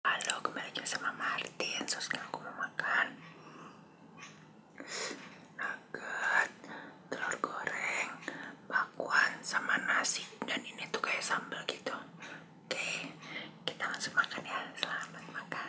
Halo, kembali lagi sama Martin. So, sekarang aku mau makan nugget, telur goreng, bakwan, sama nasi. Dan ini tuh kayak sambal gitu. Oke, kita langsung makan ya. Selamat makan.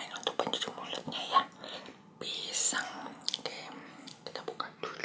Ini untuk pencuci mulutnya ya. Pisang. Oke, kita buka dulu.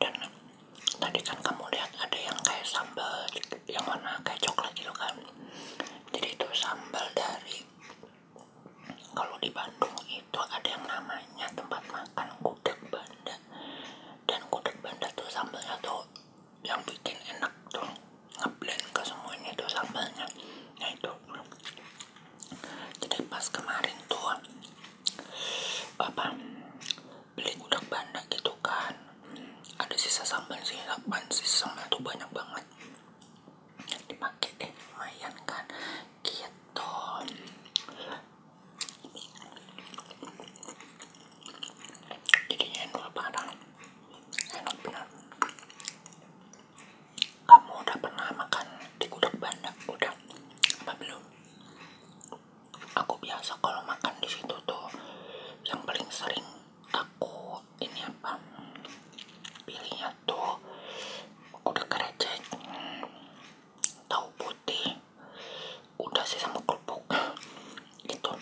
dan tadi kan kamu lihat ada yang kayak sambal yang warna kayak coklat gitu kan jadi itu sambal dari kalau di Bandung itu ada yang namanya tempat makan gudeg banda dan gudeg banda tuh sambalnya tuh yang bikin enak tuh ngeblend ke semuanya tuh sambalnya nah itu jadi pas kemarin tuh apa beli gudeg banda gitu kan ada sisa sambal sih sambal sisa sambal tuh banyak banget dipakai deh lumayan kan gitu jadinya enak barang enak benar kamu udah pernah makan di gudeg bandeng udah apa belum aku biasa kalau makan di situ tuh yang paling sering aku ini apa pilihnya tuh udah kerecek tahu putih udah sih sama kerupuk gitu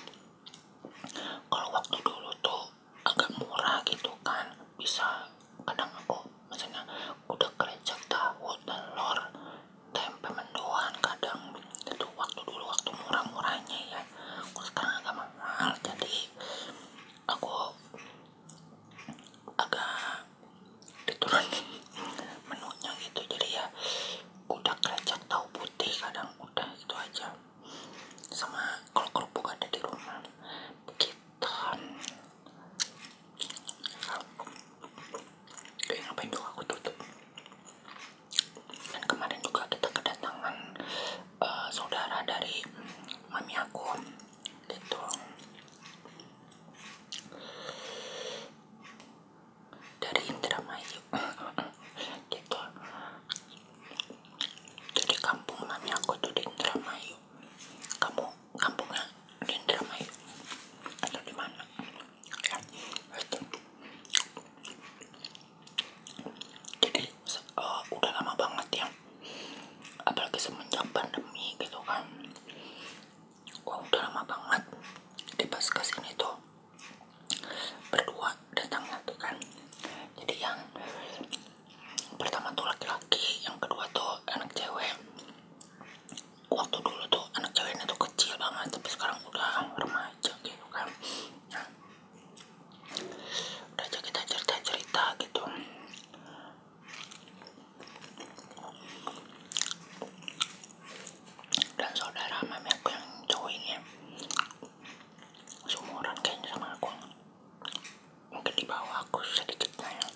kalau waktu dulu tuh agak murah gitu kan bisa kadang aku misalnya udah kerja tahu telur tempe mendoan kadang itu waktu dulu waktu murah-murahnya ya aku sekarang agak mahal jadi aku agak diturunin menunya gitu jadi ya udah kerja tahu putih kadang udah itu aja sama kalau kerupuk ada di rumah begitu eh ngapain dong aku tutup dan kemarin juga kita kedatangan eh, saudara dari mami aku gitu dari Indramayu gitu jadi kampung mami aku tuh di Indramayu kamu kampungnya di Indramayu atau di mana ya, itu jadi eh, udah lama banget ya apalagi semenjak pandemi gitu kan wah udah lama banget jadi pas kesini tuh berdua datangnya tuh kan jadi yang pertama tuh laki-laki yang kedua tuh anak cewek waktu dulu tuh anak ceweknya tuh kecil banget tapi sekarang udah remaja gitu kan nah, udah aja kita cerita cerita gitu dan saudara mami aku yang cowok ini ya, seumuran kayaknya sama aku mungkin dibawa bawah aku sedikitnya ya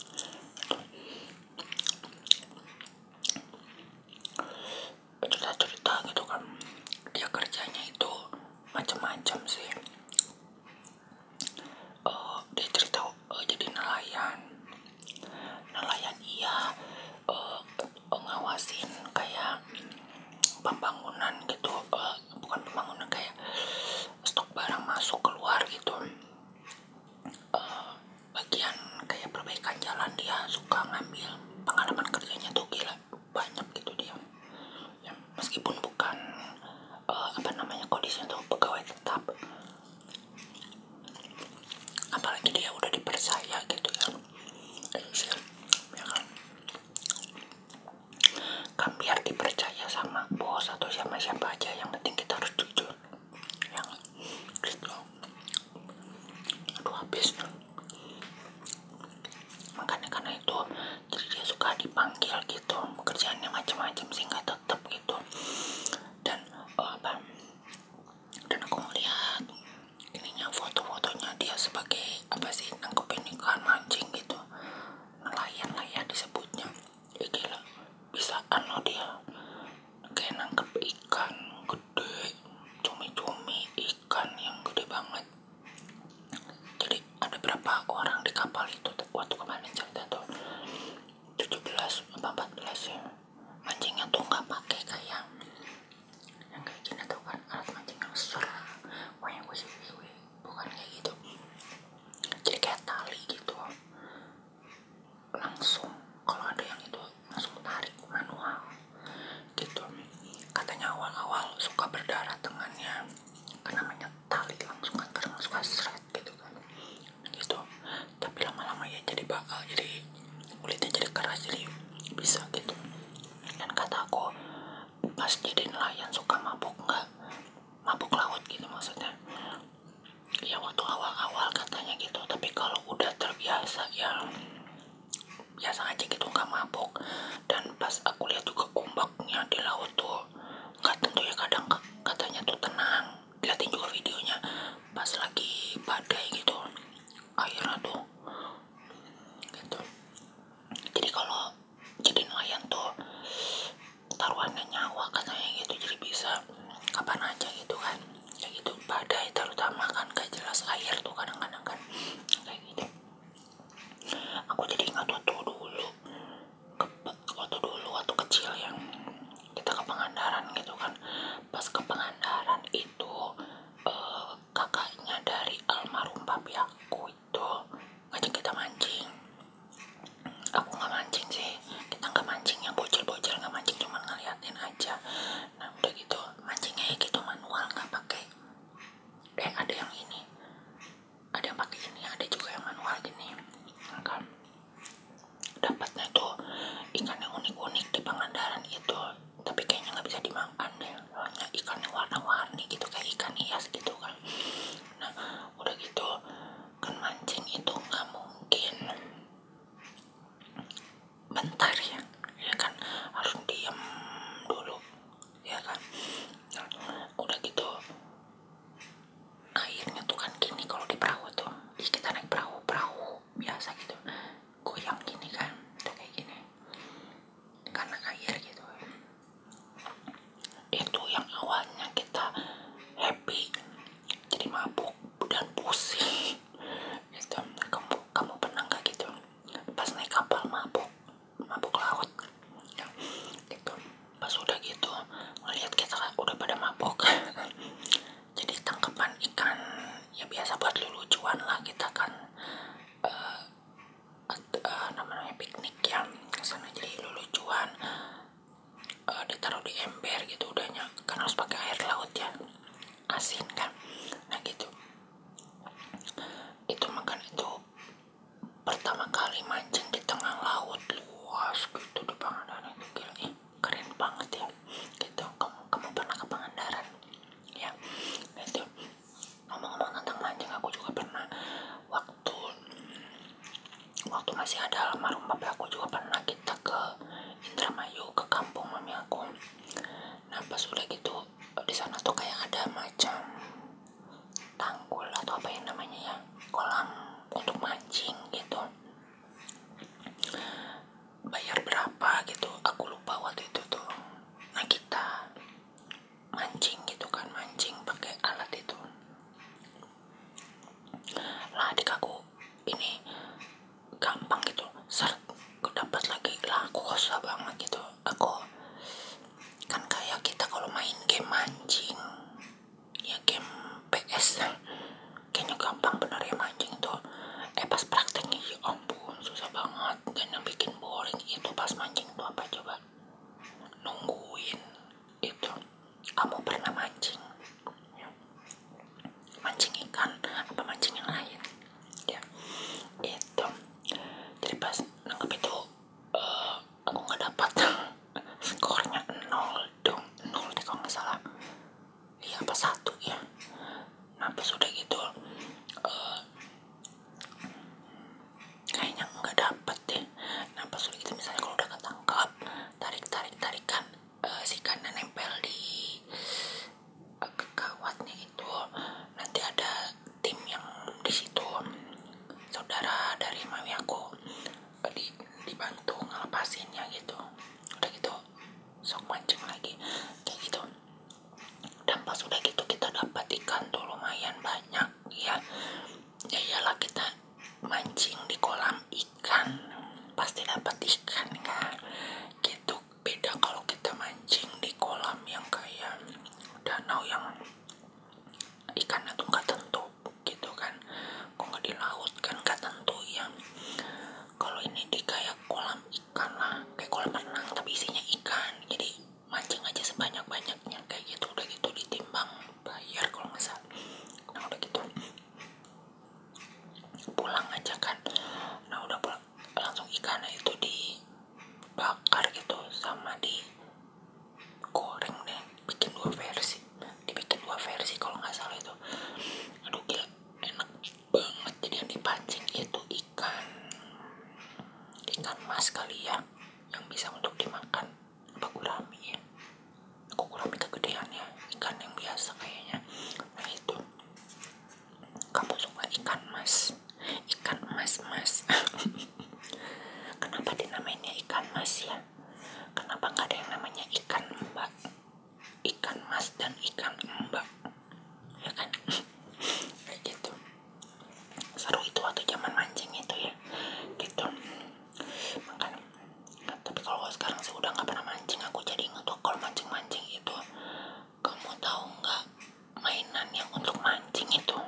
cerita cerita gitu kan dia kerjanya itu macam-macam sih eh, dia cerita eh, jadi nelayan nelayan iya uh, ngawasin kayak pembangunan gitu bukan pembangunan kayak stok barang masuk keluar gitu Eh, bagian kayak perbaikan jalan dia suka ngambil pengalaman kerjanya tuh gila banyak gitu dia ya, meskipun bukan eh, apa namanya kondisi untuk pegawai tetap apalagi dia udah dipercaya gitu ya ya, ya kan kan biar dipercaya sama bos atau siapa siapa aja yang penting kita harus jujur yang gitu aduh habis makanya karena itu jadi dia suka dipanggil gitu kerjaannya macam-macam sehingga tetap gitu dan oh, apa dan aku melihat ininya foto-fotonya dia sebagai apa sih nangkepin ikan mancing gitu nelayan nelayan disebutnya ya gila bisaan loh dia kayak nangkep ikan gede cumi-cumi ikan yang gede banget jadi ada berapa orang di kapal itu waktu kemarin cerita tuh belas, empat belas ya mancingnya tuh nggak pakai kayak yang kayak gini tuh kan alat mancing yang besar yang bukan kayak gitu jadi kayak tali gitu langsung kalau ada yang itu langsung tarik manual gitu katanya awal-awal suka berdarah tangannya karena namanya langsung kan karena suka seret gitu kan gitu tapi lama-lama ya jadi bakal jadi kulitnya jadi keras jadi bisa gitu dan kata aku pas jadi nelayan suka mabuk nggak mabuk laut gitu maksudnya ya waktu awal-awal katanya gitu tapi kalau udah terbiasa ya biasa aja gitu nggak mabuk dan pas aku lihat juga ombaknya di laut tuh nggak tentu ya kadang katanya tuh tenang liatin juga videonya pas lagi badai gitu airnya tuh gitu jadi kalau jadi nelayan tuh taruhannya nyawa katanya gitu jadi bisa kapan aja gitu kan kayak gitu badai terutama kan gak jelas air tuh kadang-kadang kan kayak gitu aku jadi ingat waktu dulu ke, waktu dulu waktu kecil yang kita ke Pangandaran gitu kan pas ke Pangandaran itu eh, kakaknya dari almarhum papi aku itu ngajak kita mancing aku nggak mancing sih kita nggak mancing yang bocil-bocil nggak mancing cuma ngeliatin aja nah udah gitu mancingnya ya gitu manual nggak pakai eh ada yang ini ada yang pakai ini ada juga yang manual gini nah, kan dapatnya tuh ikan yang unik-unik di Pangandaran itu tapi kayaknya nggak bisa dimakan deh ikan yang warna-warni gitu kayak ikan hias gitu kan nah udah gitu kan mancing itu nggak mungkin bentar ya ya kan harus diem dulu ya kan udah gitu airnya tuh kan gini kalau di perahu tuh Ih, kita naik perahu perahu biasa gitu goyang gini kan udah kayak gini karena air gitu itu yang awalnya kita happy jadi mabuk dan pusing itu kamu kamu pernah nggak gitu pas naik kapal mabuk mabuk laut ya, gitu pas udah gitu melihat kita udah pada mabuk jadi tangkapan ikan ya biasa buat lucuan lah kita kan nama uh, eh, eh, namanya piknik yang kesana jadi lucuan Eh, ditaruh di ember gitu udahnya karena harus pakai air laut ya asin kan nah gitu itu makan itu pertama kali mancing di tengah laut luas gitu di Pangandaran itu ih keren banget ya gitu kamu, kamu pernah ke Pangandaran ya gitu ngomong-ngomong tentang mancing aku juga pernah waktu waktu masih ada almarhum bapak aku juga pernah kita ke Indramayu ke kampung mami aku nah pas udah gitu di sana tuh kayak ada macam tanggul atau apa yang namanya ya kolam untuk mancing gitu bayar berapa gitu aku lupa waktu itu tuh nah kita mancing gitu kan mancing pakai alat itu lah adik aku ini gampang gitu ser, aku dapat lagi lah aku susah banget gitu aku kan kayak kita kalau main game mancing ya game PS kayaknya gampang bener ya mancing tuh eh pas prakteknya ya ampun susah banget dan yang bikin boring itu pas mancing tuh apa coba nungguin itu kamu pernah mancing ya. mancing ikan apa mancing yang lain ya itu jadi pas nangkep itu eh, aku nggak dapat skornya nol dong nol deh kalau nggak salah iya apa satu ya nah sudah gitu uh, kayaknya nggak dapet deh masukin napas sulit itu misalnya kalau udah ketangkap tarik tarik tarikan eh, si kanan nempel di uh, kawatnya itu nanti ada tim yang di situ saudara dari mami aku uh, di dibantu ngelepasinnya gitu udah gitu sok mancing lagi kayak gitu dan pas udah gitu kita dapat ikan tuh lumayan banyak ya ya iyalah kita mancing di kolam ikan pasti dapat ikan kan gitu beda kalau kita mancing di kolam yang kayak danau yang ikannya tuh nggak tentu gitu kan kok nggak di laut kan nggak tentu ya kalau ini di kayak kolam ikan lah kayak kolam renang tapi isinya ikan jadi mancing aja sebanyak banyaknya kayak gitu udah gitu ditimbang bayar kalau nggak salah nah udah gitu pulang aja kan nah udah pulang langsung ikannya itu dibakar gitu sama digoreng deh bikin dua versi dibikin dua versi kalau nggak salah itu aduh gila enak banget jadi yang dipancing itu ikan ikan mas kali ya yang bisa untuk dimakan apa gurami ya aku gurami kegedean ya ikan yang biasa kayaknya nah, itu kamu suka ikan mas ikan mas mas kenapa dinamainnya ikan mas ya kenapa nggak ada yang namanya ikan mbak ikan mas dan ikan mbak ya kan kayak gitu seru itu waktu zaman mancing itu ya gitu makan tapi kalau sekarang sih udah nggak pernah mancing aku jadi inget tuh kalau mancing-mancing itu kamu tahu nggak mainan yang untuk mancing itu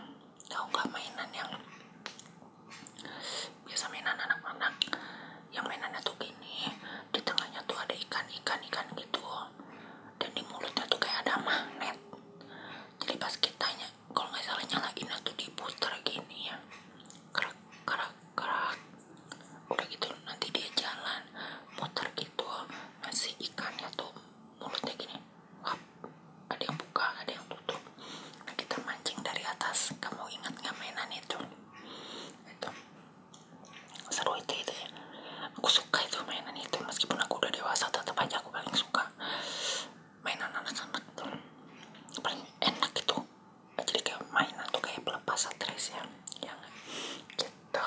tahu nggak mainan yang biasa mainan anak-anak yang mainannya tuh gini di tengahnya tuh ada ikan-ikan ikan gitu dan di mulutnya tuh kayak ada magnet jadi pas kita kitanya kalau nggak lagi nyalain di diputer gini ya kerak kerak kerak udah gitu nanti dia jalan muter gitu ngasih ikannya tuh mulutnya gini Wap, ada yang buka ada yang tutup nah, kita mancing dari atas kamu ingat nggak mainan itu itu seru itu ya aku suka itu mainan itu meskipun aku udah dewasa tetap aja aku paling suka mainan anak-anak tuh paling enak itu jadi kayak mainan tuh kayak pelepas stres ya yang gitu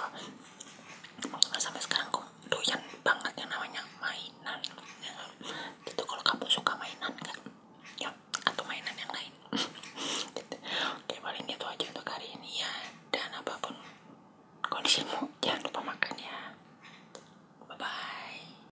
maksudnya nah, sampai sekarang aku doyan banget yang namanya mainan ya. Gitu, kalau kamu suka mainan kan ya atau mainan yang lain gitu. oke paling itu aja untuk hari ini ya dan apapun kondisimu jangan lupa makan ya bye bye